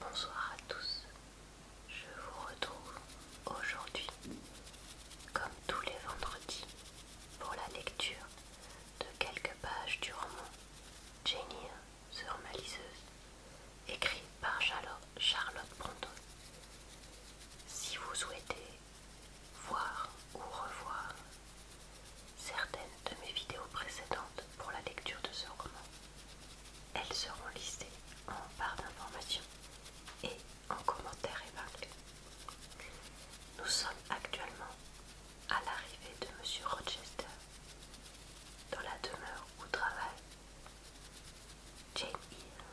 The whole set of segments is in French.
Bonsoir à tous, je vous retrouve aujourd'hui, comme tous les vendredis, pour la lecture de quelques pages du roman Jenny sur maliseuse, écrit par Charlotte Bronton. Si vous souhaitez voir ou revoir certaines de mes vidéos précédentes pour la lecture de ce roman. Elles seront listées en barre d'informations et en commentaire épinglé. Nous sommes actuellement à l'arrivée de Monsieur Rochester dans la demeure où travaille Jane Eyre.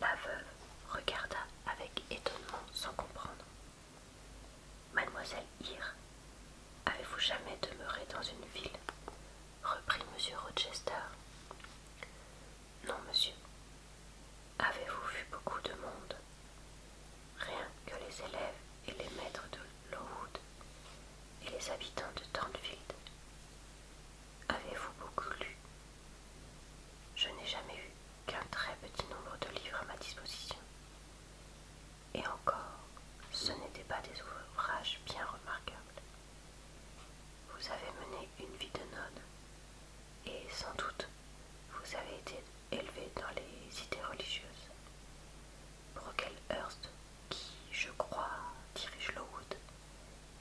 La veuve regarda avec étonnement sans comprendre. Mademoiselle Ir, avez-vous jamais demeuré dans une ville reprit monsieur Rochester. Non, monsieur. Avez-vous vu beaucoup de monde Rien que les élèves et les maîtres de Lowood et les habitants de Thornfield. Avez-vous beaucoup lu Je n'ai jamais eu qu'un très petit nombre de livres à ma disposition. Et encore, ce n'étaient pas des ouvrages bien remarquables. Vous avez mené une vie de node. et sans doute vous avez été élevé dans les idées religieuses. Hearst, qui, je crois, dirige Lowood,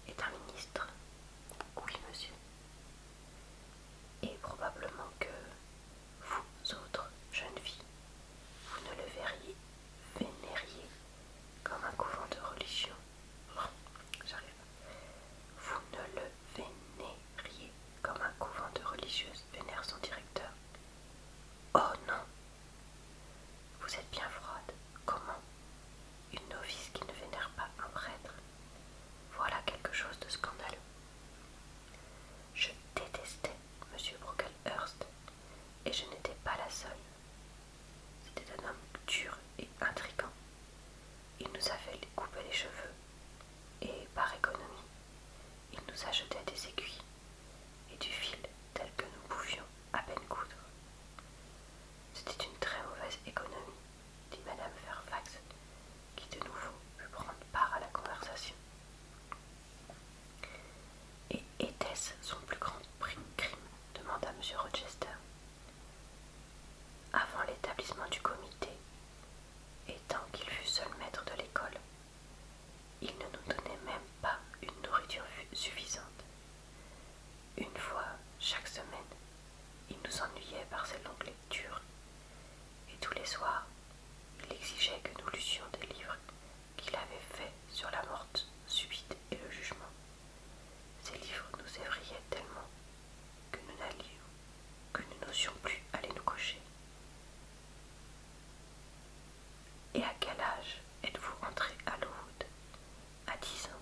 est un ministre. Oui, monsieur. Et probablement que, vous autres jeunes filles, vous ne le verriez, vénériez comme un couvent de religion. Vous ne le vénériez comme un couvent de religieuses vénère son directeur. Oh non Vous êtes bien froide. Comment Une novice qui ne vénère pas un prêtre. Voilà quelque chose de scandaleux. Je détestais M. Brocklehurst et je n'étais pas la seule. C'était un homme dur et intrigant. Il nous avait coupé les cheveux et, par économie, il nous a jeté des aiguilles et du fil tel que nous pouvions à peine coudre. C'était une très mauvaise économie dit Mme Fairfax, qui de nouveau put prendre part à la conversation. Et était-ce son plus grand crime demanda M. Rochester. Avant l'établissement du comité, et tant qu'il fut seul maître de l'école, il ne nous donnait même pas une nourriture suffisante. Une fois chaque semaine, il nous ennuyait par ses longues lectures et tous les soirs il exigeait que nous lussions des livres qu'il avait faits sur la morte subite et le jugement. Ces livres nous évrillaient tellement que nous n'allions, que nous n'osions plus aller nous cocher. Et à quel âge êtes-vous rentré à Lowood À dix ans.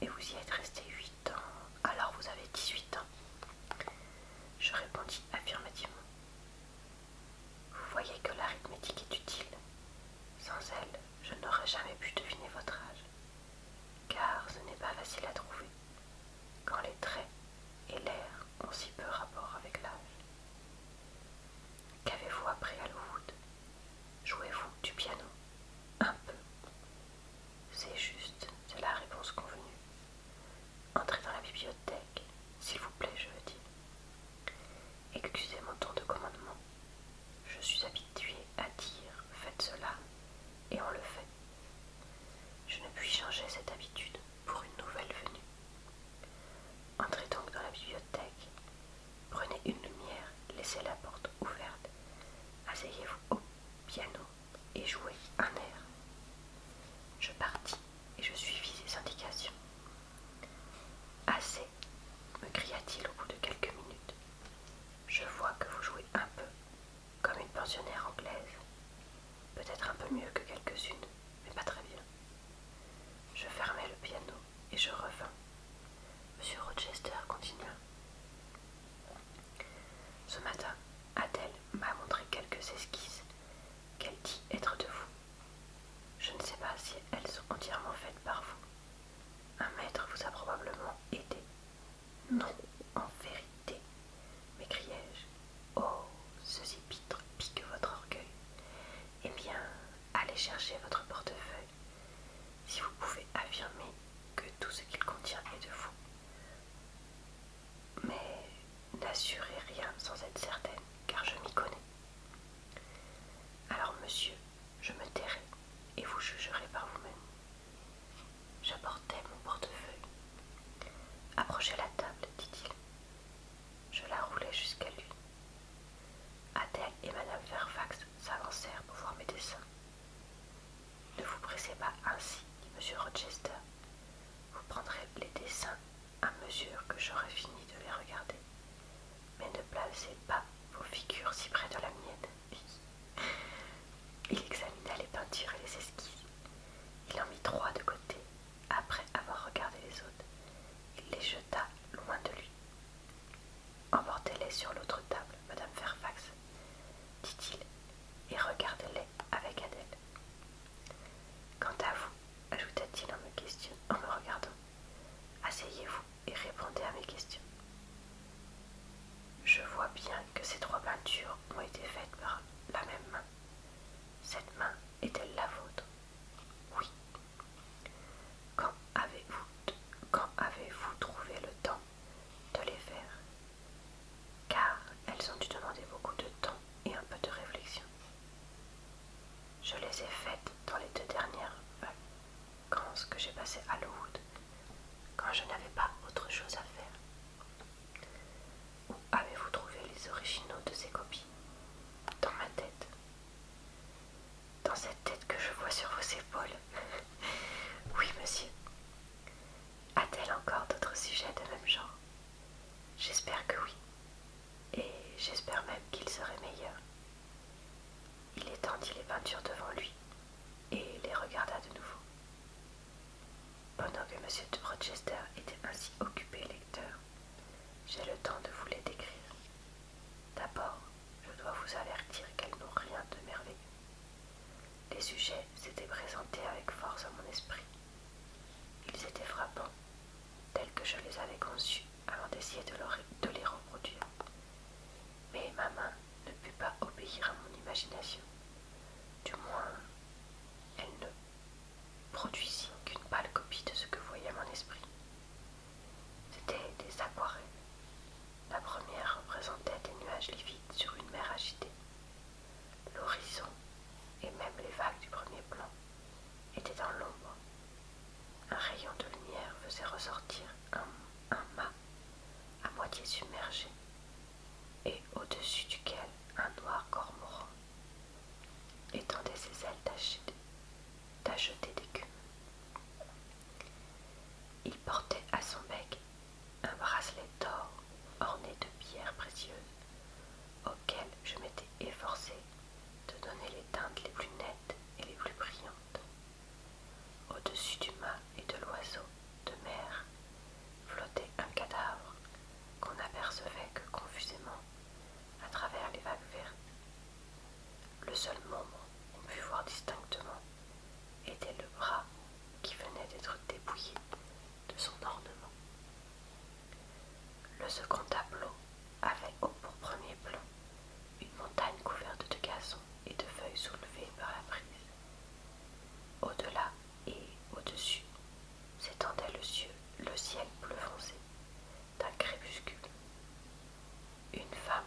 Et vous y êtes resté huit alors vous avez 18 ans Je répondis affirmativement. Vous voyez que l'arithmétique est utile. Sans elle, je n'aurais jamais pu deviner votre âge. Car ce n'est pas facile à trouver. Quand les traits et l'air ont si peu rapport avec l'âge. Qu'avez-vous appris à Lowood Jouez-vous du piano Un peu. C'est juste, c'est la réponse convenue. Entrez dans la bibliothèque, s'il vous plaît, je dis. Excusez mon ton de commandement. Je suis habituée à dire faites cela et on le fait. Je ne puis changer cette habitude pour une nouvelle venue. Entrez donc dans la bibliothèque, prenez une lumière, laissez la porte ouverte, asseyez-vous au piano et jouer un air. Je partis et je suivis ses indications. Assez, me cria-t-il au bout de quelques minutes. Je vois que vous jouez un peu, comme une pensionnaire anglaise. Peut-être un peu mieux que quelques-unes, mais pas très bien. Je fermai le piano et je revins. Monsieur Rochester continua. Ce matin, Adèle m'a montré quelques esquisses qu'elle dit être de vous. Je ne sais pas si elles sont entièrement faites par vous. Un maître vous a probablement aidé. Non, en vérité, m'écriai-je. Oh, ce pique votre orgueil. Eh bien, allez chercher votre portefeuille. Si vous pouvez affirmer que tout ce qu'il contient est de vous, mais n'assurez rien sans être certaine, car je m'y connais. Alors, monsieur, je me tairai et vous jugerez par vous-même. J'apportai mon portefeuille. Approchez la table, dit-il. Je la roulai jusqu'à lui. Adèle et Madame Fairfax s'avancèrent pour voir mes dessins. Ne vous pressez pas ainsi, dit M. Rochester. Vous prendrez les dessins à mesure que j'aurai fini de les regarder. Mais ne placez pas vos figures si près de la mienne. Il examina les peintures et les esquisses. Il en mit trois de côté. Après avoir regardé les autres, il les jeta loin de lui. Emportez-les sur l'autre table, Madame Fairfax, dit-il, et regardez-les avec Adèle. Quant à vous, ajouta-t-il en me en me regardant, asseyez-vous et répondez à mes questions. Je vois bien que ces trois peintures ont été faites par la même main. Cette main est-elle la vôtre Oui. Quand avez-vous trouvé le temps de les faire, car elles ont dû demander beaucoup de temps et un peu de réflexion. Je les ai faites dans les deux dernières vacances que j'ai passées à Hollywood quand je n'avais pas autre chose à faire. Où avez-vous trouvé les originaux de ces copies Dans ma tête dans cette tête que je vois sur vos épaules. oui, monsieur. A-t-elle encore d'autres sujets de même genre J'espère que oui. Et j'espère même qu'ils seraient meilleurs. » Il étendit les peintures devant lui et les regarda de nouveau. Pendant que Monsieur de Rochester était ainsi occupé lecteur, j'ai le temps de vous les décrire. D'abord, je dois vous avertir qu'elles n'ont rien de merveilleux. Les sujets s'étaient présentés avec force à mon esprit. Ils étaient frappants, tels que je les avais conçus avant d'essayer de, les reproduire. Mais ma main ne put pas obéir à mon imagination. Du moins, elle ne produisit qu'une pâle copie de ce que voyait mon esprit. C'étaient des aquarelles. La première représentait des nuages livides sur une mer agitée. L'horizon, et même les vagues du premier plan, étaient dans l'ombre. Un rayon de lumière faisait ressortir un, mât à moitié submergé, et au-dessus duquel un noir cormoran étendait ses ailes d'acheter tachetées d'écume. Il portait à son bec un bracelet d'or orné de pierres précieuses, auquel je m'étais efforcée de donner les teintes les plus nettes et les plus brillantes. Au-dessus du mât et de l'oiseau de mer flottait un cadavre qu'on n'apercevait que confusément à travers les vagues vertes. Le seul moment on put voir distinctement était le bras qui venait d'être dépouillé de son ornement. Le second tableau avait au pour premier plan une montagne couverte de gazon et de feuilles soulevées par la brise. Au-delà et au-dessus s'étendait le ciel bleu foncé d'un crépuscule une femme,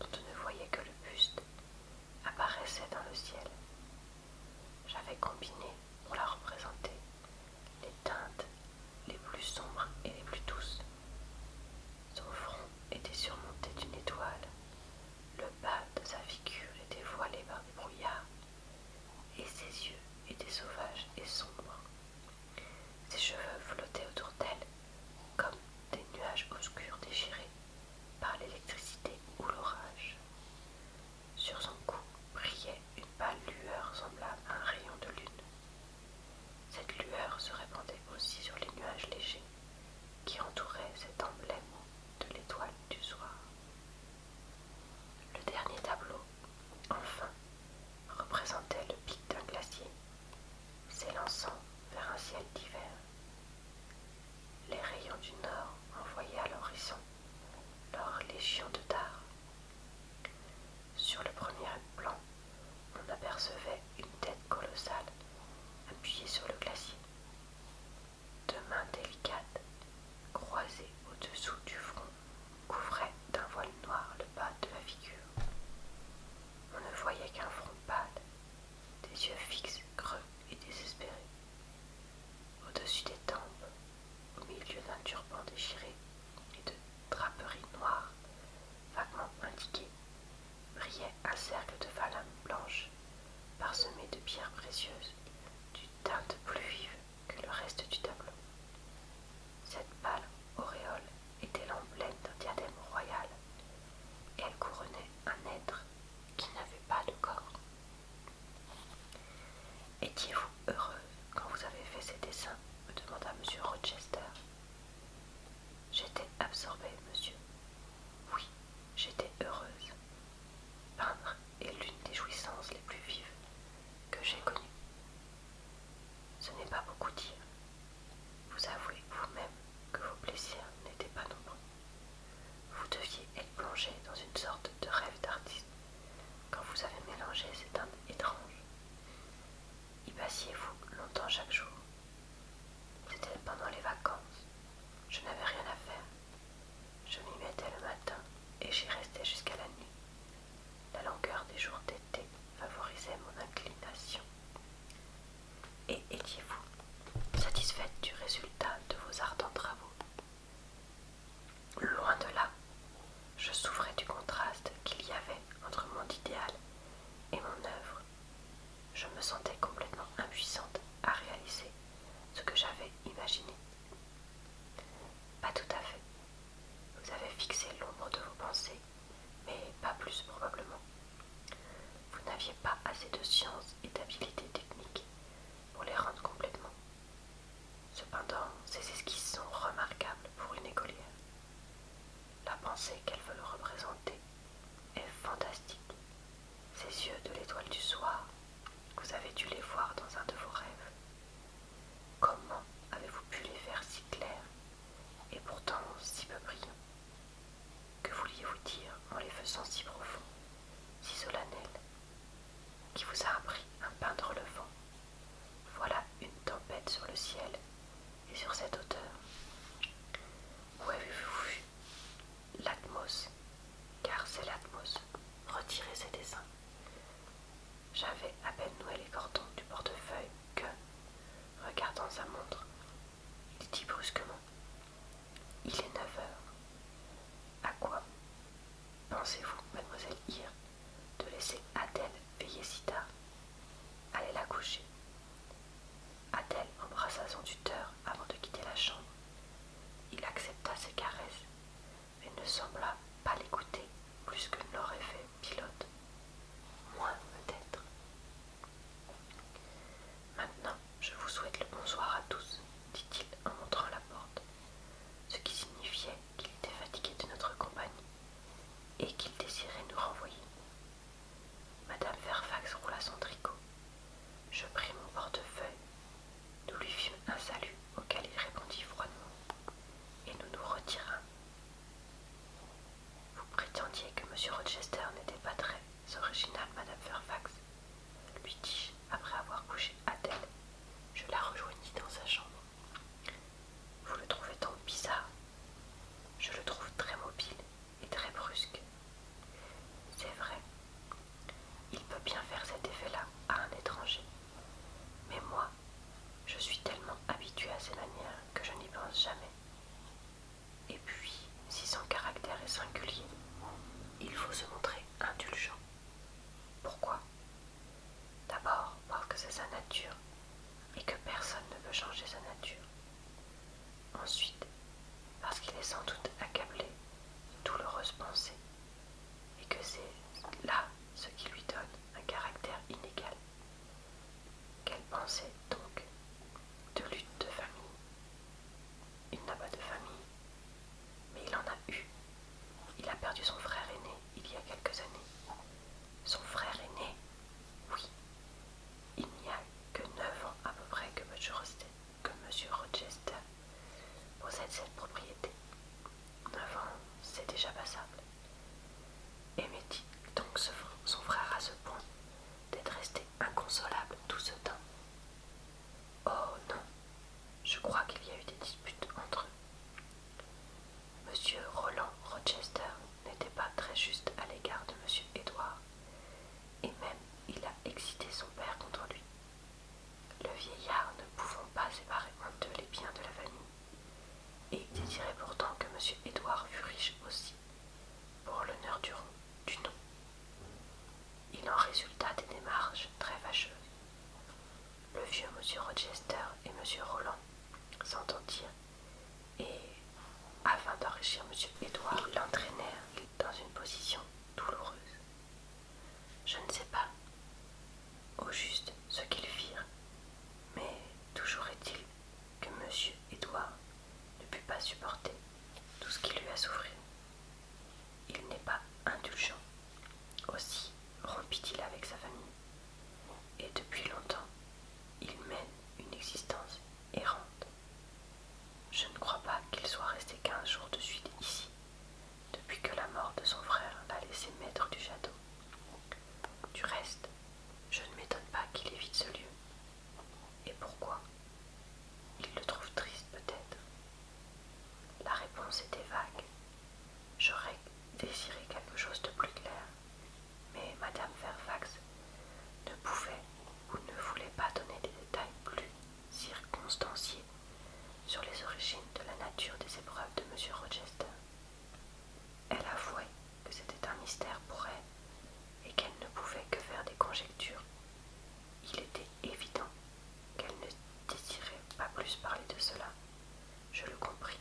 dont on ne voyait que le buste, apparaissait dans le ciel. J'avais combiné, pour la représenter, les teintes les plus sombres et les plus douces. Son front était surmonté d'une étoile, le bas de sa figure était voilé par des brouillards, et ses yeux étaient sauvages et sombres. Ses cheveux flottaient autour d'elle comme des nuages obscurs déchirés par l'électricité ou l'orage. Sur son cou brillait une pâle lueur semblable à un rayon de lune. Cette lueur se répandait aussi sur les nuages légers qui entouraient cet emblème de l'étoile du soir. Le dernier tableau, enfin, représentait le pic d'un glacier s'élançant vers un ciel d'hiver. Les rayons du nord envoyaient à l'horizon leur légion de dards. Sur le premier plan, on apercevait une tête colossale appuyée sur le glacier, deux mains délicates croisées au-dessous du front couvraient d'un voile noir le bas de la figure on ne voyait qu'un front pâle, des yeux fixes, creux et désespérés. Au-dessus des tempes, au milieu d'un turban déchiré et de draperies noires, vaguement indiquées, brillait un cercle de falames blanches, parsemées de pierres précieuses, d'une teinte plus vive que le reste du tableau. Cette pâle auréole était l'emblème d'un diadème royal et elle couronnait un être qui n'avait pas de corps. Étiez-vous heureuse quand vous avez fait ces dessins me demanda M. Rochester. J'étais absorbée, monsieur. Oui, j'étais heureuse. Peindre est l'une des jouissances les plus vives que j'ai connues. Ce n'est pas beaucoup dire, vous avouez vous-même que vos plaisirs n'étaient pas nombreux. Vous deviez être plongé dans une sorte de rêve d'artiste quand vous avez mélangé ces teintes étranges. Y passiez-vous longtemps chaque jour C'était pendant les vacances. Je n'avais rien à faire. Je m'y mettais le matin et j'y restais jusqu'à la nuit. La longueur des jours d'été favorisait mon inclination. Et étiez-vous satisfaite du résultat de vos ardents travaux Loin de là, je souffrais du contraste qu'il y avait entre mon idéal et mon œuvre. Je me sentais complètement impuissante à réaliser ce que j'avais imaginé. Pas tout à fait. Vous avez fixé l'ombre de vos pensées mais pas plus probablement. Vous n'aviez pas assez de science et d'habileté technique pour les rendre complètement. Cependant, ces esquisses sont remarquables pour une écolière. La pensée qu'elle veut représenter est fantastique. Ces yeux de l'étoile du soir, vous avez dû les voir dans un de vos rêves. Comment avez-vous pu les faire si clairs et pourtant si peu brillants Que vouliez-vous dire en les faisant si profonds, si solennels Qui vous a appris à peindre le vent Voilà une tempête sur le ciel et sur cette hauteur. Où avez-vous vu l'Atmos Car c'est l'Atmos. Retirez ces dessins. J'avais à peine noué les cordons du portefeuille que, regardant sa montre, il dit brusquement Il est 9 heures. À quoi pensez-vous, mademoiselle Ire, de laisser Adèle veiller si tard Allez la coucher. Adèle embrassa son tuteur avant de quitter la chambre. Il accepta ses caresses, mais ne sembla pas l'écouter plus que l'aurait fait pilote, Moi, peut-être. Maintenant, je vous souhaite le bonsoir à tous, dit-il en montrant la porte, ce qui signifiait qu'il était fatigué de notre compagnie et qu'il désirait nous renvoyer. Madame Fairfax roula son tricot. Je pris mon portefeuille, nous lui fîmes un salut auquel il répondit froidement, et nous nous retirâmes vous prétendiez que M. Rochester n'était pas très original, Madame Fairfax, lui dis-je après avoir couché Adèle. Je la rejoignis dans sa chambre. Vous le trouvez tant bizarre Je le trouve très mobile et très brusque. C'est vrai. Il peut bien faire cet effet-là à un étranger. Mais moi, je suis tellement habituée à ces manières que je n'y pense jamais. Et puis, si son caractère est singulier, il faut se montrer indulgent. Pourquoi D'abord parce que c'est sa nature et que personne ne peut changer sa nature. Ensuite, parce qu'il est sans doute accablé de douloureuses pensées et que c'est là ce qui lui donne un caractère inégal. Quelle pensée donc de lutte de famille Il n'a pas de famille, mais il en a eu. Il a perdu son frère aîné il y a quelques années. Son frère aîné Oui. Il n'y a que neuf ans à peu près que M. Rochester possède cette propriété. 9 ans, c'est déjà passable. Aimait-il donc son frère à ce point d'être resté inconsolable tout ce temps Oh non, je crois qu'il y a eu des disputes entre eux. Monsieur Roland Rochester n'était pas très juste à l'égard de Monsieur Edouard et même il a excité son père contre lui. Le vieillard ne pouvant pas séparer les biens de la famille et désirait pourtant que M. Édouard fût riche aussi, pour l'honneur du, nom. Il en résulta des démarches très fâcheuses. Le vieux M. Rochester et M. Roland s'entendirent et, afin d'enrichir M. Édouard, l'entraînèrent dans une position douloureuse. Je ne sais pas, au juste, ce qu'ils firent, mais toujours est-il que M. Édouard ne put pas supporter tout ce qui lui a souffert. Il n'est pas indulgent. Aussi rompit-il avec sa famille. Et depuis longtemps, il mène une existence errante. Je ne crois pas qu'il soit resté quinze jours de suite ici, depuis que la mort de son frère l'a laissé maître du château. Du reste, je ne m'étonne pas qu'il évite ce lieu. Et pourquoi Il le trouve triste peut-être. La réponse était vague. J'aurais désiré quelque chose de plus clair, mais Madame Fairfax ne pouvait ou ne voulait pas donner des détails plus circonstanciés sur les origines de la nature des épreuves de M. Rochester. Elle avouait que c'était un mystère pour elle et qu'elle ne pouvait que faire des conjectures. Il était évident qu'elle ne désirait pas plus parler de cela. Je le compris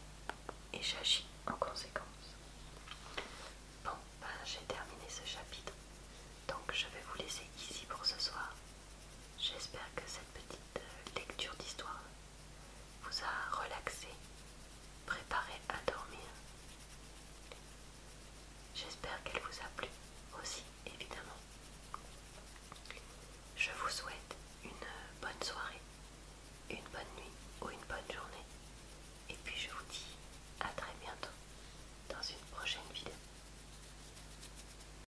et j'agis en conséquence. Bon, ben, j'ai terminé ce chapitre, donc je vais vous laisser ici pour ce soir. J'espère que cette petite lecture d'histoire vous a relaxé, préparé à dormir. J'espère qu'elle vous a plu aussi, évidemment. Je vous souhaite une bonne soirée, une bonne nuit ou une bonne journée. Et puis je vous dis à très bientôt dans une prochaine vidéo.